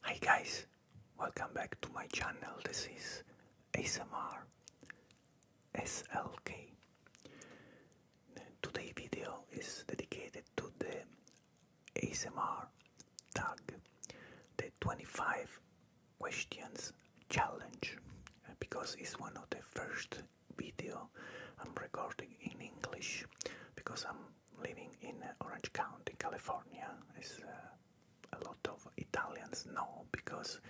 Hi guys, welcome back to my channel. This is ASMR SLK. Today's video is dedicated to the ASMR tag, the 25 questions challenge, because it's one of the first video I'm recording in English because I'm living in Orange County, California, is uh, a lot of Italians know, because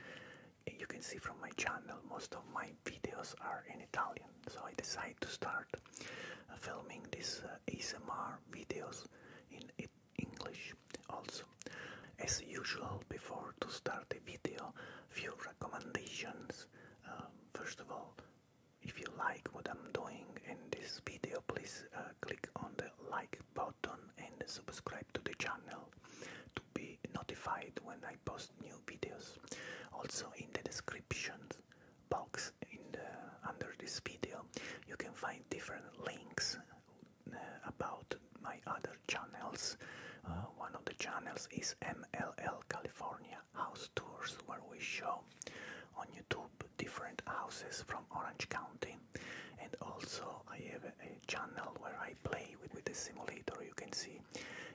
you can see from my channel most of my videos are in Italian. So I decided to start uh, filming these uh, ASMR videos in English also. As usual, before to start the video, few recommendations. Um, first of all, if you like what I'm doing in this video, please uh, click on the like button and subscribe to the channel to be notified when I post new videos. Also in the description box under this video you can find different links uh, about my other channels. Uh, one of the channels is MLL California house tours where we show on YouTube different houses from Orange County and also I have a, channel where I play with, the simulator you can see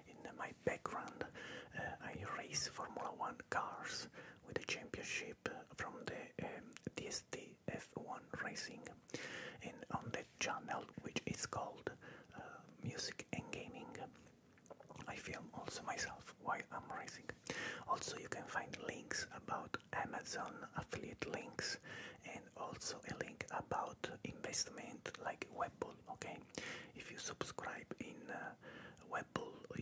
in my background uh, I race Formula 1 cars with the championship from the um, DST F1 Racing and on that channel which is called uh, Music and Gaming I film also myself while I'm racing. Also, you can find links about Amazon affiliate links and also a link about investment like Webbull. Okay, if you subscribe in uh,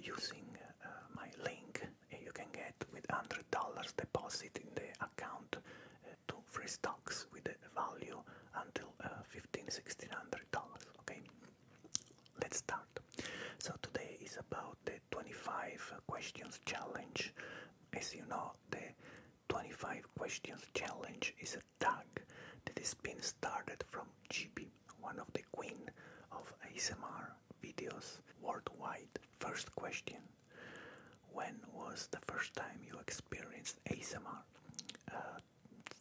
using uh, my link, eh, you can get with hundred dollars deposit in the account uh, to free stocks with a value until uh, fifteen sixteen hundred dollars. Okay. Let's start. So today is about the 25 questions challenge. As you know, the 25 questions challenge is a tag that has been started from GB, one of the queen of ASMR videos worldwide. First question. When was the first time you experienced ASMR? Uh,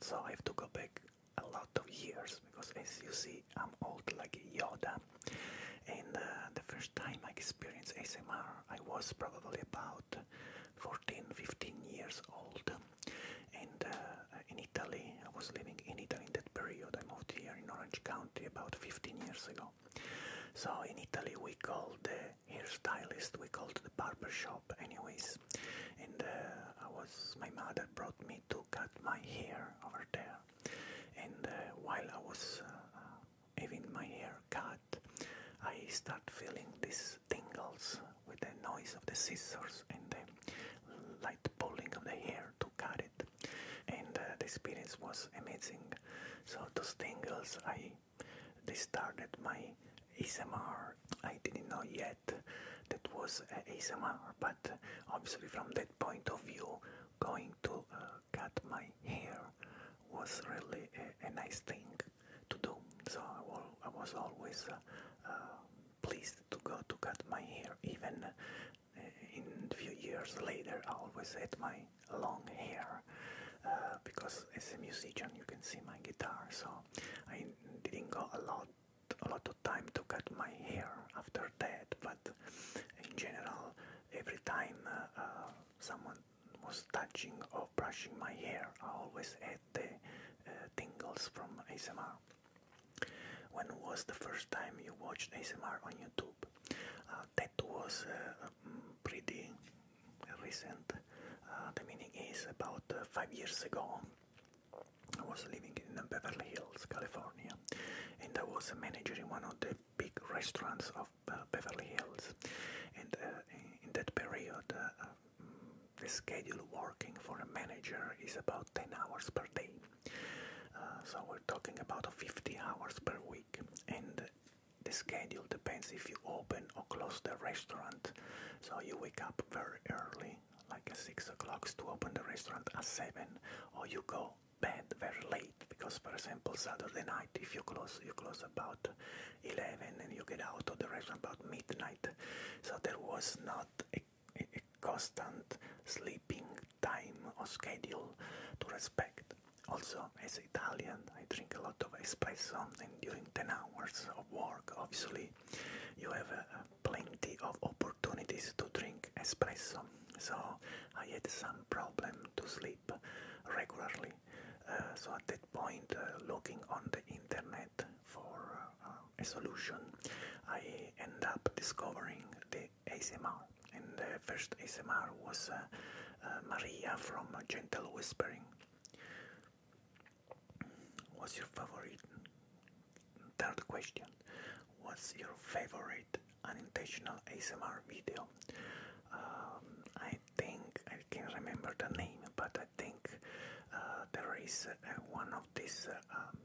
so I have to go back a lot of years because as you see I'm old like Yoda and uh, the first time I experienced ASMR I was probably about 14 15 years old and uh, in Italy I was living in Italy in that period I moved here in Orange County about 15 years ago so in Italy we called the hairstylist we called the barber shop anyways and uh, I was, my mother brought me to cut my hair over there. And uh, while I was uh, uh, having my hair cut, I start feeling these tingles with the noise of the scissors and the light pulling of the hair to cut it. And the experience was amazing. So those tingles, I they started my ASMR. I didn't know yet that was uh, ASMR, but obviously from that point of view, going to uh, cut my hair was really a, nice thing to do. So I, was always uh, um, pleased to go to cut my hair. Even uh, in a few years later, I always had my long hair because as a musician, you can see my guitar. So I didn't go a lot a lot of time to cut my hair after that, but in general, every time uh, uh, someone was touching or brushing my hair, I always had the uh, tingles from ASMR. When was the first time you watched ASMR on YouTube? that was mm, pretty recent. the meaning is about five years ago. I was living in Beverly Hills, California, and I was a manager in one of the big restaurants of uh, Beverly Hills. And uh, in that period, uh, um, the schedule working for a manager is about 10 hours per day. so we're talking about 50 hours per week, and the schedule depends if you open or close the restaurant. So you wake up very early like at uh, 6 o'clock to open the restaurant at 7 or you go bed very late because for example Saturday night if you close you close about 11 and you get out of the restaurant about midnight so there was not a, constant sleeping time or schedule to respect also as Italian I drink a lot of espresso and during 10 hours of work obviously you have uh, plenty of opportunities to drink espresso. So I had some problem to sleep regularly. Uh, so at that point, uh, looking on the internet for a solution, I end up discovering the ASMR. And the first ASMR was Maria from Gentle Whispering. What's your favorite? Third question. What's your favorite unintentional ASMR video? Um, I think I can remember the name, but I think uh, there is uh, one of this uh, um,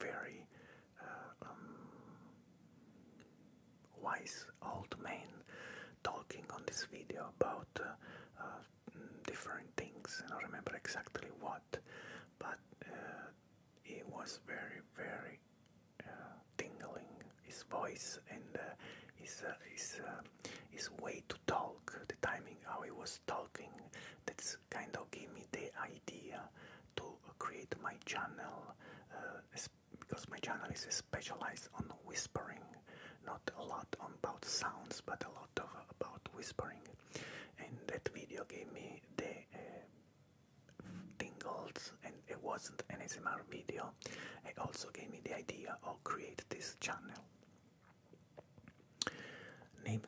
very um, wise old man talking on this video about different things. I don't remember exactly what, but uh, it was very, very uh, tingling. His voice and uh, his his his way to talk, the timing, how he was talking. That's kind of gave me the idea to create my channel because my channel is specialized on whispering, not a lot about sounds, but a lot about whispering, and that video gave me the uh, tingles, and it wasn't an ASMR video. It also gave me the idea of create this channel. Name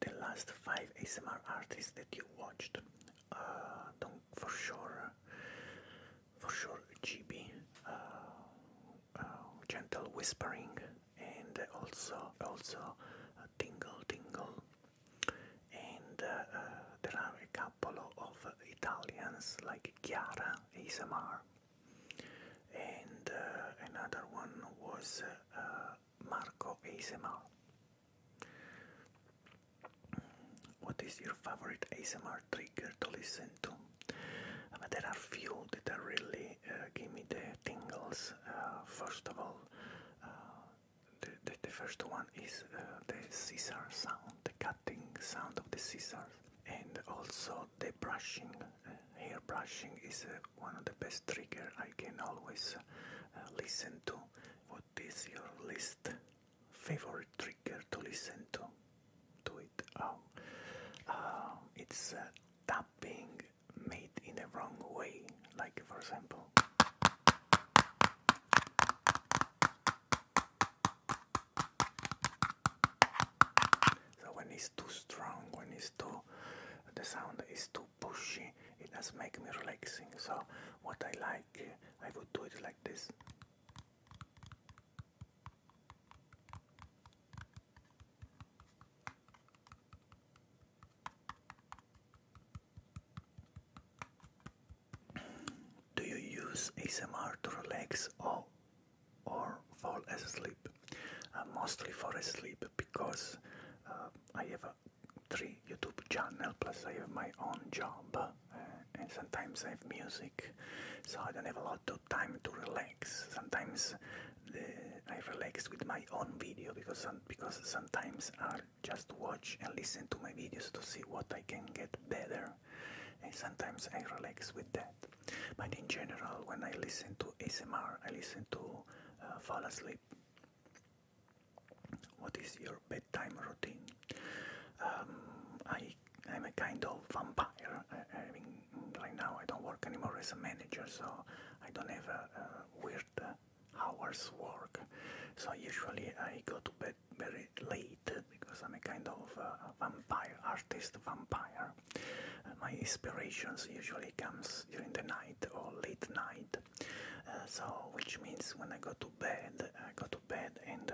the last five ASMR artists that you watched. Uh, don't for sure. For sure, GB. Uh, um, gentle whispering and also also a tingle tingle and uh, uh, there are a couple of Italians like Chiara ASMR and uh, another one was Marco ASMR. What is your favorite ASMR trigger to listen to? But there are few that are really uh, give me the tingles. Uh, first of all, uh, the, first one is the scissor sound, the cutting sound of the scissors, and also the brushing. hair brushing is one of the best trigger I can always listen to. What is your list favorite trigger to listen to? To Oh, it's uh, tapping made in the wrong way, like for example. So when it's too strong, when it's too, the sound is too pushy, it does make me relaxing. So what I like, I would do it like this. Do you use ASMR to relax or, or fall asleep? Uh, mostly for sleep because uh, I have a three YouTube channel plus I have my own job uh, and sometimes I have music so I don't have a lot lot time to relax. Sometimes I relax with my own video because because sometimes I just watch and listen to my videos to see what I can get better, and sometimes I relax with that. But in general, when I listen to ASMR, I listen to uh, fall asleep. What is your bedtime routine? Um, I I'm a kind of vampire. I, mean, right now I don't work anymore as a manager, so I don't have a, uh, uh, weird uh, hours work. So usually I go to bed very late because I'm a kind of vampire artist vampire. my inspirations usually comes during the night or late night. so which means when I go to bed, I go to bed and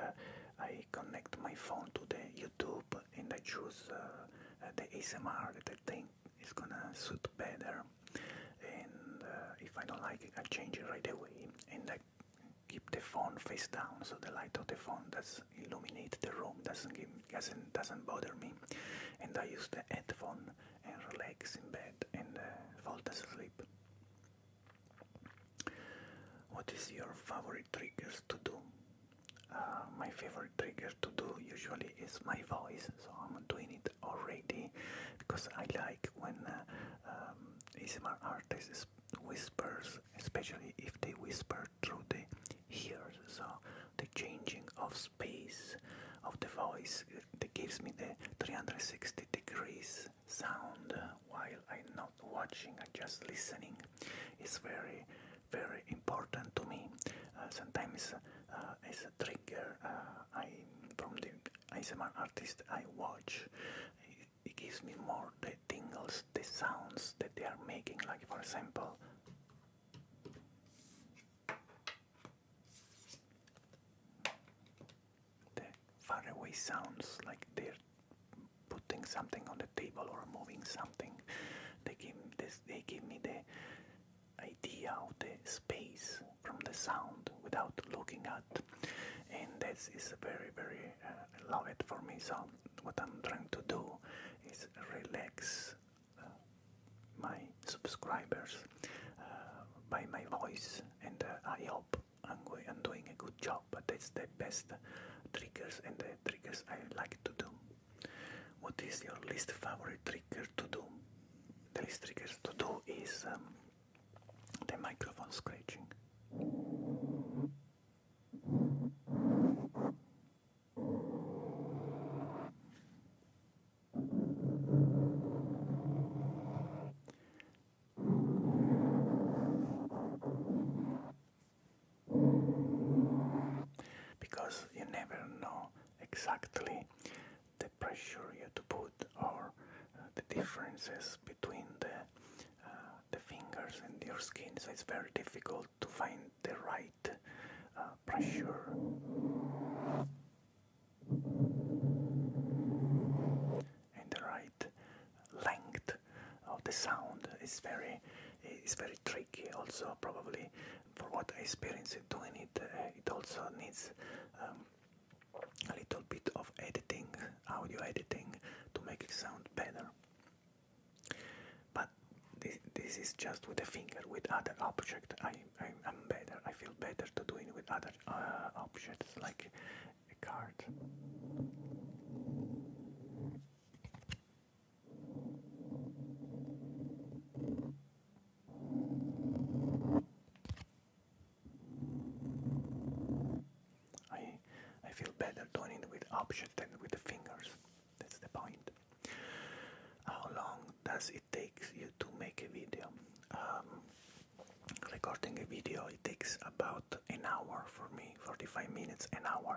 I connect my phone to the YouTube and I choose uh, the ASMR that I think is gonna suit better and uh, if I don't like it I change it right away and I keep the phone face down so the light of the phone does illuminate the room doesn't doesn't doesn't bother me and I use the headphones and relax in bed and uh, fall asleep. What is your favorite triggers to do? my favorite trigger to do usually is my voice, so I'm doing it already because I like when uh, um, artists whispers, especially if they whisper through the ears. So the changing of space of the voice that gives me the 360 degrees sound while I'm not watching, I'm just listening. It's very, very important to me. Uh, sometimes uh, as a trigger, uh, I from the ASMR artist I watch, it, gives me more the tingles, the sounds that they are making. Like for example. The faraway sounds like they putting something on the table or moving something. They give this. They give me the idea of the space from the sound without looking at, and this is very very uh, loved for me. So what I'm trying to do is relax uh, my subscribers uh, by my voice, and I hope I'm, I'm doing a good job. But that's the best triggers and the triggers I like to do. What is your least favorite trigger to do? The least triggers to do is um, the microphone scratching because you never know exactly the pressure you have to put or uh, the differences between the uh, the fingers and your skin so it's very difficult to find the right uh, pressure and the right length of the sound is very is very tricky also probably for what I experienced doing it uh, it also needs um, a little bit of editing audio editing to make it sound better but this, this is just with a finger with other object I, I, am better I feel better to doing with other uh, objects like a card I I feel better doing it with objects than with the fingers. That's the point. How long does it take you to make a video? Um, recording a video it takes about an hour for me 45 minutes an hour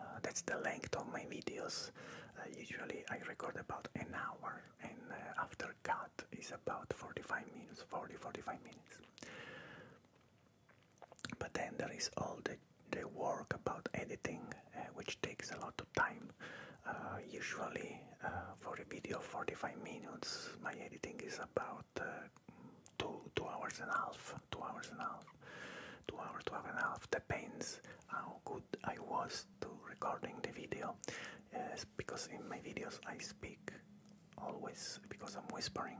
uh, that's the length of my videos uh, usually i record about an hour and uh, after cut is about 45 minutes 40 45 minutes but then there is all the, the work about editing which takes a lot of time usually for a video 45 minutes my editing is about two two hours and a half two hours and a half, two hours, two Depends how good I was to recording the video, because in my videos I speak always because I'm whispering.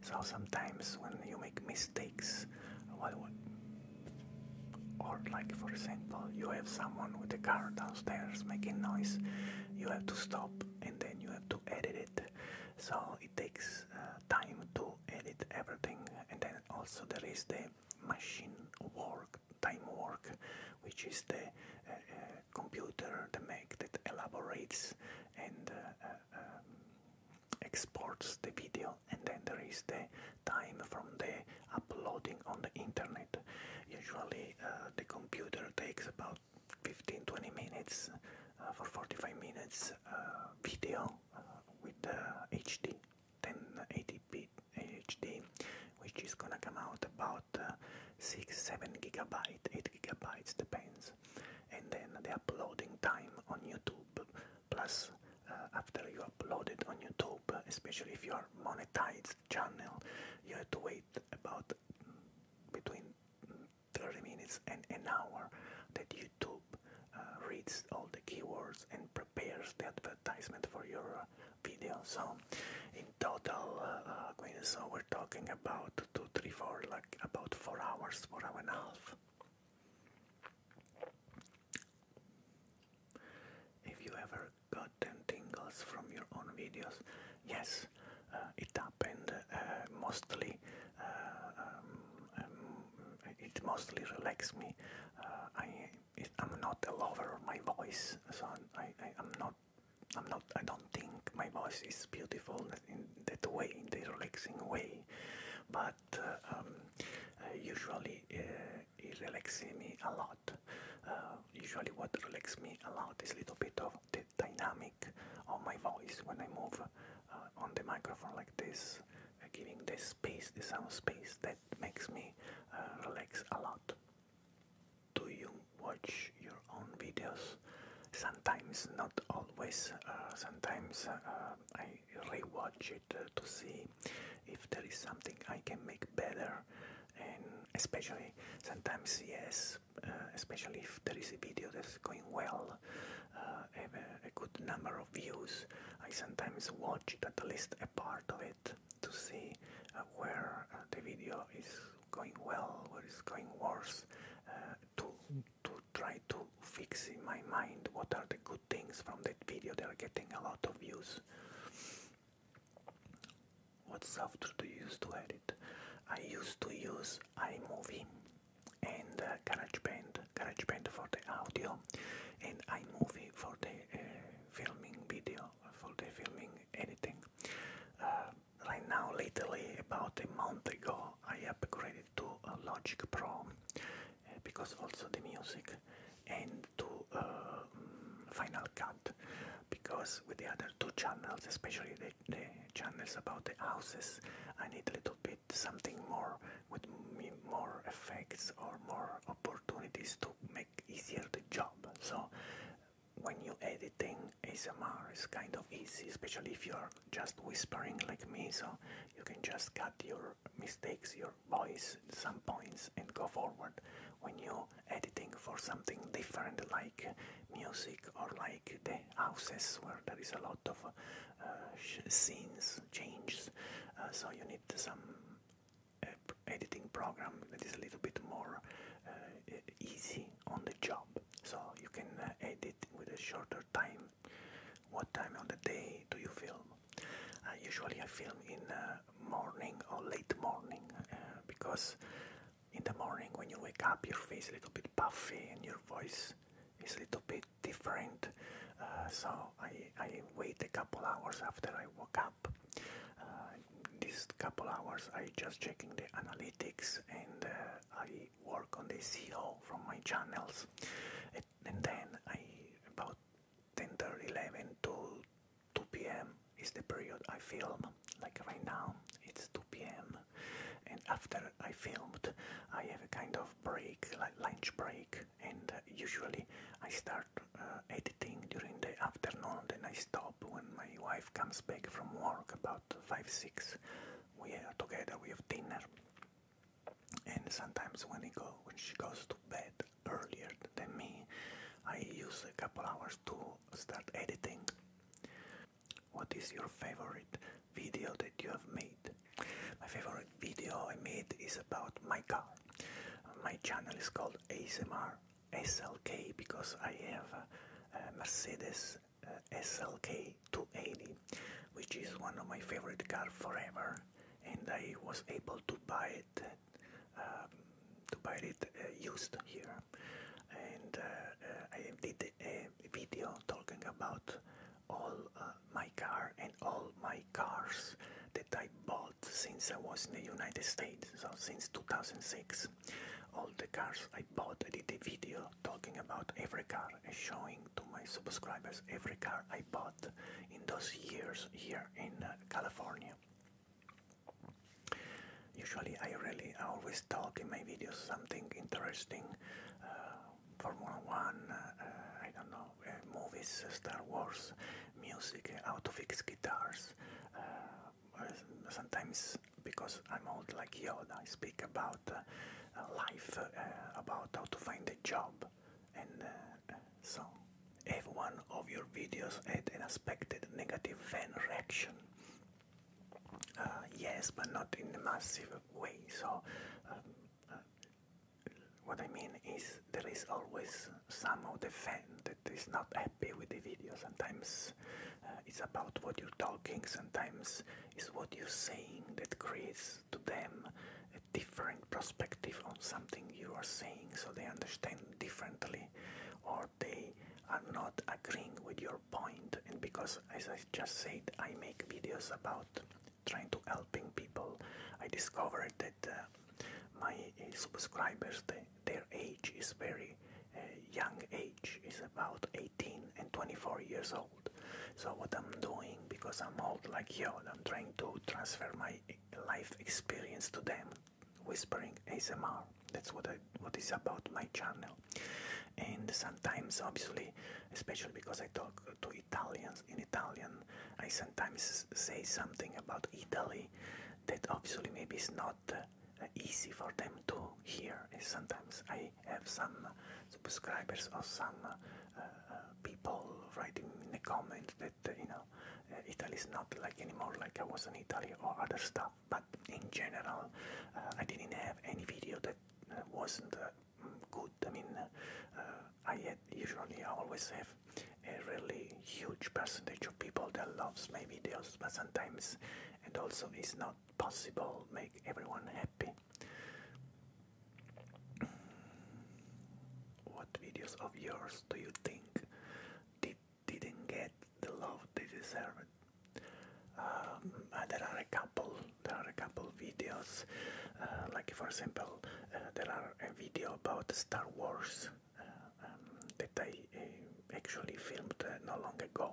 So sometimes when you make mistakes, or like for example, you have someone with a car downstairs making noise, you have to stop and then you have to edit it so it takes uh, time to edit everything and then also there is the machine work time work which is the uh, uh, computer the Mac that elaborates and um, exports the video and then there is the time from the uploading on the internet usually the computer takes about about 15-20 minutes uh, for 45 minutes uh, video uh, with HD 1080p HD, which is gonna come out about six, seven gigabyte, eight gigabytes depends, and then the uploading time on YouTube. Plus, after you upload it on YouTube, especially if you are monetized channel, you have to wait about between 30 minutes and an hour that YouTube uh, reads all the keywords and prepares the advertisement for your uh, video. So in total, uh, uh so we're talking about two, three, four, like about four hours, four hour and a half. If you ever got them tingles from your own videos, Yes, uh, it happened uh, mostly. Uh, um, um, it mostly relaxes me. I am not a lover of my voice, so I, not. I'm not. I don't think my voice is beautiful in that way, in the relaxing way. But um, usually it relaxes me a lot. usually, what relaxes me a lot is a little bit of dynamic of my voice when I move uh, on the microphone like this, uh, giving the space, the sound space that makes me uh, relax a lot. Do you watch your own videos? Sometimes, not always. sometimes uh, I rewatch it to see if there is something I can make better, and especially sometimes, yes, uh, especially if there is a video that's going well, uh, have a, good number of views. I sometimes watch it, at least a part of it, to see uh, where uh, the video is going well, where it's going worse, to, to try to fix in my mind what are the good things from that video that are getting a lot of views. What software do you use to edit? I used to use use iMovie and uh, GarageBand, GarageBand for the audio and iMovie for the uh, filming video, for the filming editing. Uh, right now, lately, about a month ago, I upgraded to Logic Pro uh, because also the music and to mm, Final Cut because with the other two channels, especially the, the channels about the houses. I need a little bit something more with more effects or more opportunities to make easier the job. So when you editing ASMR is kind of easy, especially if you're just whispering like me, so you can just cut your mistakes, your voice, some points and go forward. When you editing for something different like music or like the houses where there is a lot of uh, scenes changes uh, so you need some uh, editing program that is a little bit more easy on the job so you can edit with a shorter time what time on the day do you film usually I film in uh, morning or late morning because in the morning when you wake up, your face is a little bit puffy and your voice is a little bit different. Uh, so I, I wait a couple hours after I woke up. Uh, these couple hours, I just checking the analytics and uh, I work on the SEO from my channels. And, then I about 10, 11 to 2 p.m. is the period I film like right now it's 2 p.m. and after I filmed I have a kind of break, like lunch break, and uh, usually I start uh, editing during the afternoon, then I stop when my wife comes back from work about 5-6. We are together, we have dinner, and sometimes when she goes to bed earlier than me, I use a couple hours to start editing. What is your favorite video that you have made? My favorite video I made is about my car. My channel is called ASMR SLK because I have a Mercedes uh, SLK 280, which is one of my favorite cars forever, and I was able to buy it. Um, to buy it uh, used here and uh, uh, I did a video talking about all uh, my car and all my cars that I bought since I was in the United States, so since 2006. All the cars I bought, I did a video talking about every car and showing to my subscribers every car I bought in those years here in California. Usually, I really I always talk in my videos something interesting uh, Formula One, uh, uh, I don't know, uh, movies, Star Wars, music, how to fix guitars. sometimes, because I'm old like Yoda, I speak about life, about how to find a job. And so, if one of your videos had an expected negative fan reaction, uh, yes, but not in a massive way. So, um, uh, what I mean is, there is always some of the fan that is not happy with the video. Sometimes uh, it's about what you're talking, sometimes it's what you're saying that creates to them a different perspective on something you are saying, so they understand differently, or or they are not agreeing with your And because, as I just said, I make videos about trying to helping people, I discovered that uh, my uh, subscribers, their age is very uh, young age, is about 18 and 24 years old. So what I'm doing, because I'm old like you, I'm trying to transfer my life experience to them whispering ASMR. That's what what is about my channel. And sometimes, obviously, especially because I talk to Italians in Italian, I sometimes say something about Italy that obviously maybe is not uh, easy for them to hear. And sometimes I have some subscribers or some uh, uh, people writing in the comment that you know Italy is not like anymore like I was in Italy or other stuff but in general, uh, I didn't have any video that uh, wasn't uh, good. I mean, I had usually always have a really huge percentage of people that loves my videos, but sometimes and also it's not possible make everyone happy. What videos of yours do you think did didn't get the love they deserve. Um, there are a couple. There are a couple videos, uh, like for example, uh, there are a video about Star Wars uh, um, that I actually filmed uh, not long ago.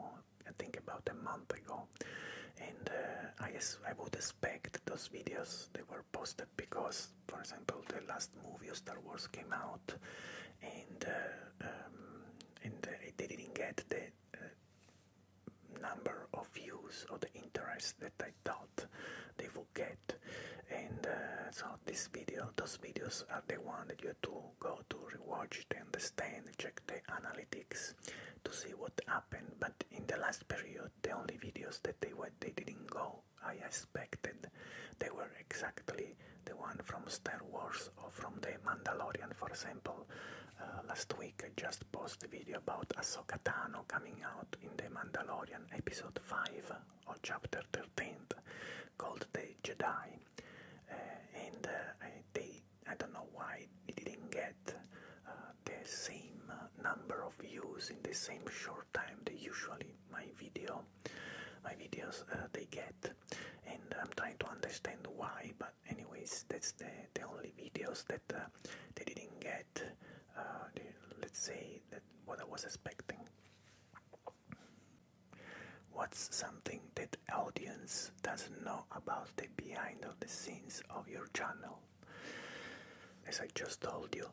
I think about a month ago, and uh, I I would expect those videos they were posted because, for example, the last movie of Star Wars came out, and uh, um, and they didn't get the uh, number of views or the interest that I thought they would get. And uh, so this video, those videos are the one that you have to go to rewatch to understand, check the analytics to see what happened. But in the last period, the only videos that they went, they didn't go. I expected they were exactly the one from Star Wars or from The Mandalorian, for example. Uh, last week I just posted a video about Ahsoka Tano coming out in The Mandalorian episode 5 or chapter 13 called The Jedi. Uh, and uh, they, I don't know why they didn't get the same number of views in the same short time they usually my video my videos they get and I'm trying to understand why. But anyways, that's the the only videos that uh, they didn't get. Uh, let's say that what I was expecting. What's something that audience doesn't know about the behind of the scenes of your channel? As I just told you,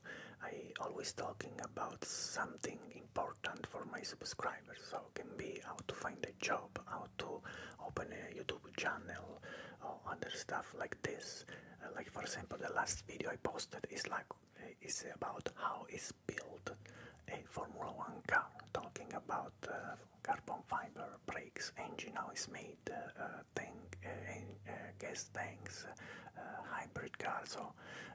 I always talking about something important important for my subscribers so can be how to find a job how to open a youtube channel or other stuff like this uh, like for example the last video i posted is like uh, is about how is built a formula one car talking about uh, carbon fiber brakes engine how is made gas tanks hybrid cars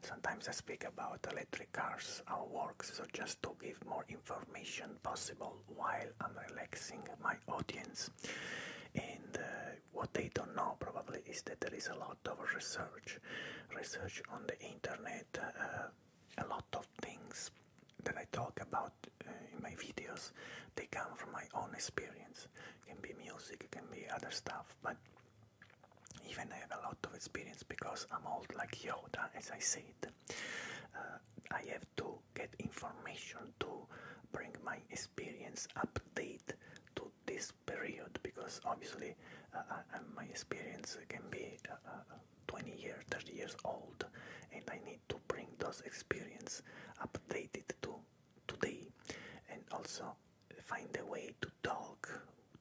sometimes I speak about electric cars, how works, so just to give more information possible while I'm relaxing my audience. And uh, what they don't know probably is that there is a lot of research, research on the internet, uh, a lot of things that I talk about uh, in my videos, they come from my own experience. can be music, can be other stuff, but even I have a lot of experience because I'm old like Yoda, as I said. Uh, I have to get information to bring my experience update to this period because obviously uh, my experience can be uh, 20 years, 30 years old, and I need to bring those experience updated to today, and also find a way to talk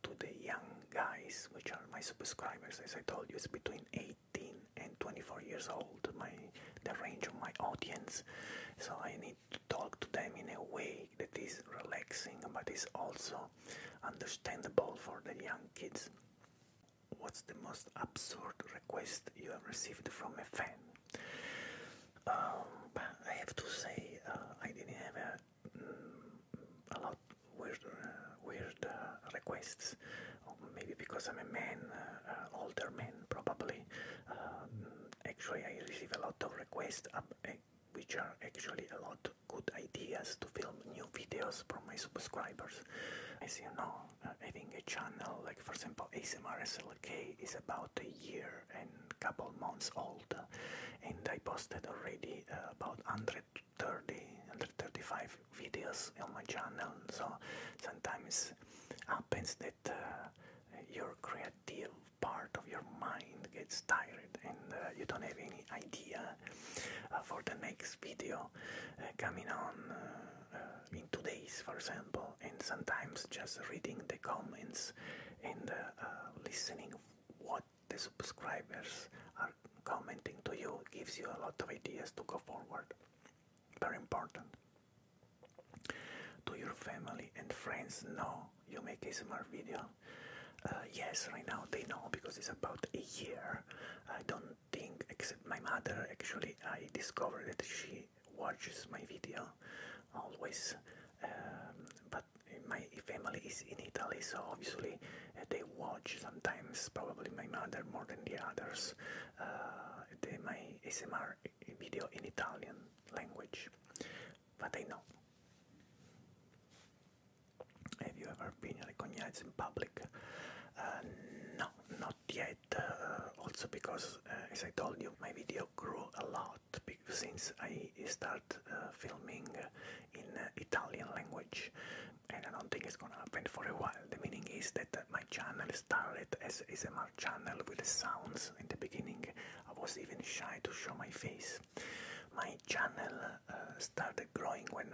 to the young guys, which are my subscribers. As I told you, it's between 18 and 24 years old, my the range of my audience. So I need to talk to them in a way that is relaxing, but is also understandable for the young kids. What's the most absurd request you have received from a fan? Um, I have to say, uh, I didn't have a a lot weird, uh, weird uh, requests. Um, maybe because I'm a man, uh, older man, probably. Um, actually, I receive a lot of requests, um, eh, which are actually a lot good ideas to film new videos from my subscribers. As you know, having a channel like, for example, ASMR SLK is about a year and couple months old and I posted already uh, about 130 135 videos on my channel so sometimes happens that uh, your creative part of your mind gets tired and uh, you don't have any idea for the next video coming on in two days for example and sometimes just reading the comments and listening what the subscribers are commenting to you gives you a lot of ideas to go forward. Very important. Do your family and friends know you make a smart video? Uh, yes, right now they know because it's about a year. I don't think, except my mother, actually, I discovered that she watches my video always um, but my family is in Italy, so obviously uh, they watch sometimes, probably my mother more than the others, uh, the, my ASMR video in Italian language. But I know. Have you ever been recognized in public? Uh, no, not yet. Uh, also because, as I told you, my video grew a lot since I start uh, filming in uh, Italian language and I don't think it's gonna happen for a while. The meaning is that uh, my channel started as ASMR channel with sounds. In the beginning I was even shy to show my face. My channel started growing when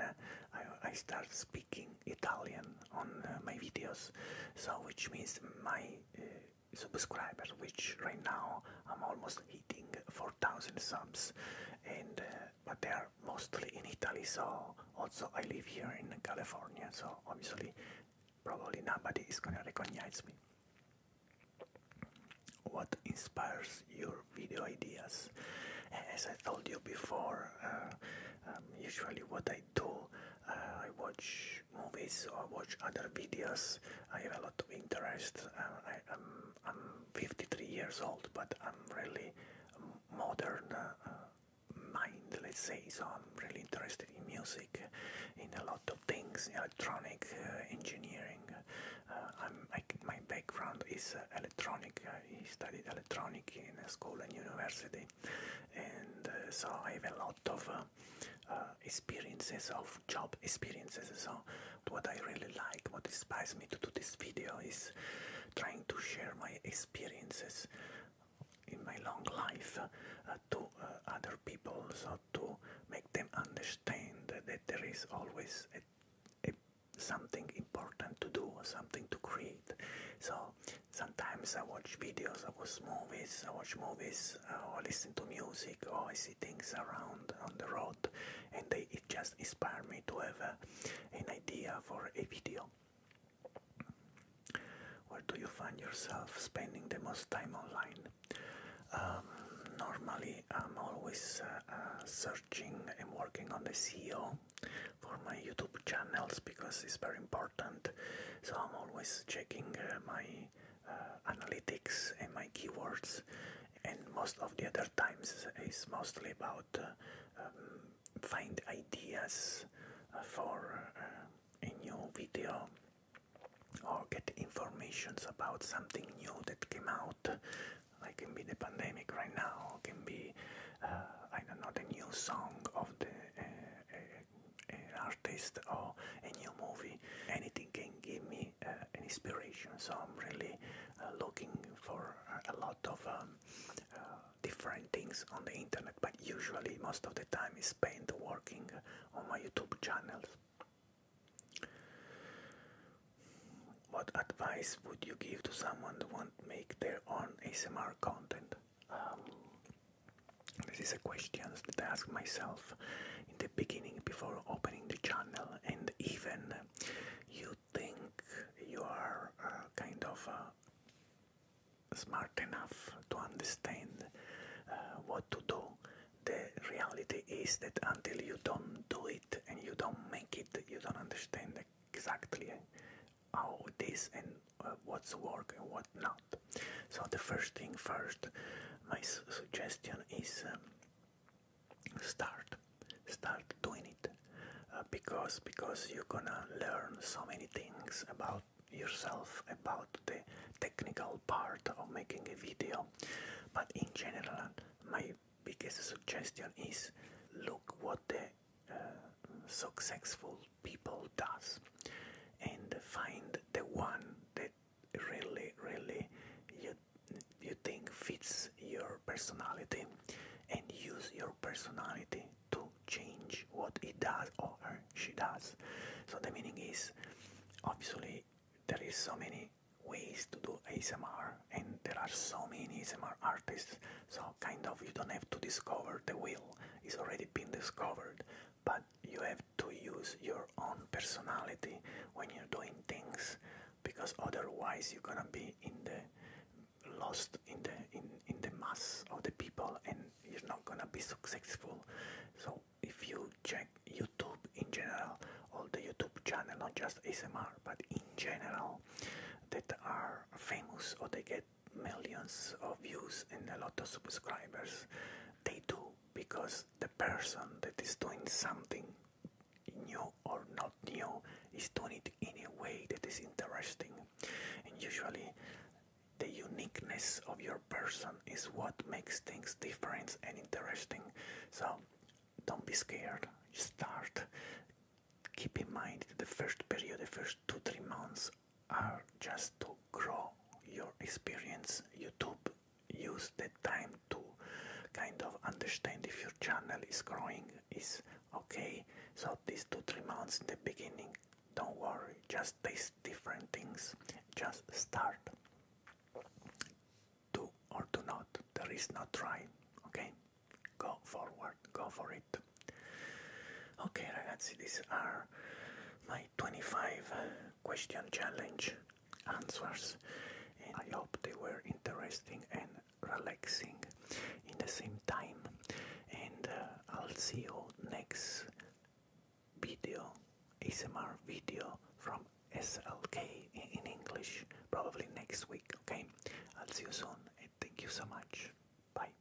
I, I started speaking Italian on my videos, so which means my subscribers, which right now I'm almost hitting for 4,000 subs, and uh, but they are mostly in Italy. So also I live here in California, so obviously probably nobody is gonna recognize me. What inspires your video ideas? As I told you before, uh, um, usually what I do, uh, I watch movies or watch other videos. I have a lot of interest. Um, I'm 53 years old, but I'm really modern uh, mind, let's say. So I'm really interested in music, in a lot of things, electronic uh, engineering. Uh, I'm, my background is electronic. I studied electronic in school and university, and so I have a lot of experiences of job experiences. So what I really like, what inspires me to do this video is trying to share my experiences in my long life uh, to uh, other people, so to make them understand that there is always something important to do, or something to create. So sometimes I watch videos, I watch movies, I watch movies or uh, listen to music or I see things around on the road and it just inspires me to have an idea for a video. Where do you find yourself spending the most time online? Um, normally I'm always uh, uh, searching and working on the SEO for my YouTube channels because it's very important so I'm always checking my uh, analytics and my keywords and most of the other times is mostly about uh, um, find ideas uh, for uh, a new video or get informations about something new that came out like can be the pandemic right now can be i don't know the new song of the uh, artist or a new movie Anything can give me uh, an inspiration, so I'm really uh, looking for uh, a lot of um, different things on the internet, but usually most of the time is spent working on my YouTube channels. What advice would you give to someone who want to make their own ASMR content? Um, this is a question that I ask myself in the beginning before opening the channel and even you think you are uh, kind of uh, smart enough to understand uh, what to do the reality is that until you don't do it and you don't make it you don't understand exactly how this and what's work and what not so the first thing first my suggestion is um, start start doing it uh, because because you're gonna learn so many things about yourself about the technical part of making a video but in general my biggest suggestion is look what the uh, successful people does and find the one that really really you you think fits your personality and use your personality to change what he does or she does so the meaning is obviously there is so many ways to do ASMR and there are so many ASMR artists so kind of you don't have to discover the wheel it's already been discovered but you have to use your own personality when you're doing things because otherwise you're gonna be in the lost in the in, in the mass of the people and you're not gonna be successful so if you check youtube in general all the youtube channel not just asmr but in general that are famous or they get millions of views and a lot of subscribers they do because the person that is doing something new or not new is doing it in a way that is interesting. And usually, the uniqueness of your person is what makes things different and interesting. So, don't be scared, start. Keep in mind that the first period, the first two, three months, are just to grow your experience. YouTube use that time to kind of understand if your channel is growing is okay so these two three months in the beginning don't worry just taste different things just start do or do not there is no try okay go forward go for it okay ragazzi these are my 25 question challenge answers I hope they were interesting and relaxing in the same time and uh, I'll see you next video ASMR video from SLK in English probably next week okay I'll see you soon thank you so much bye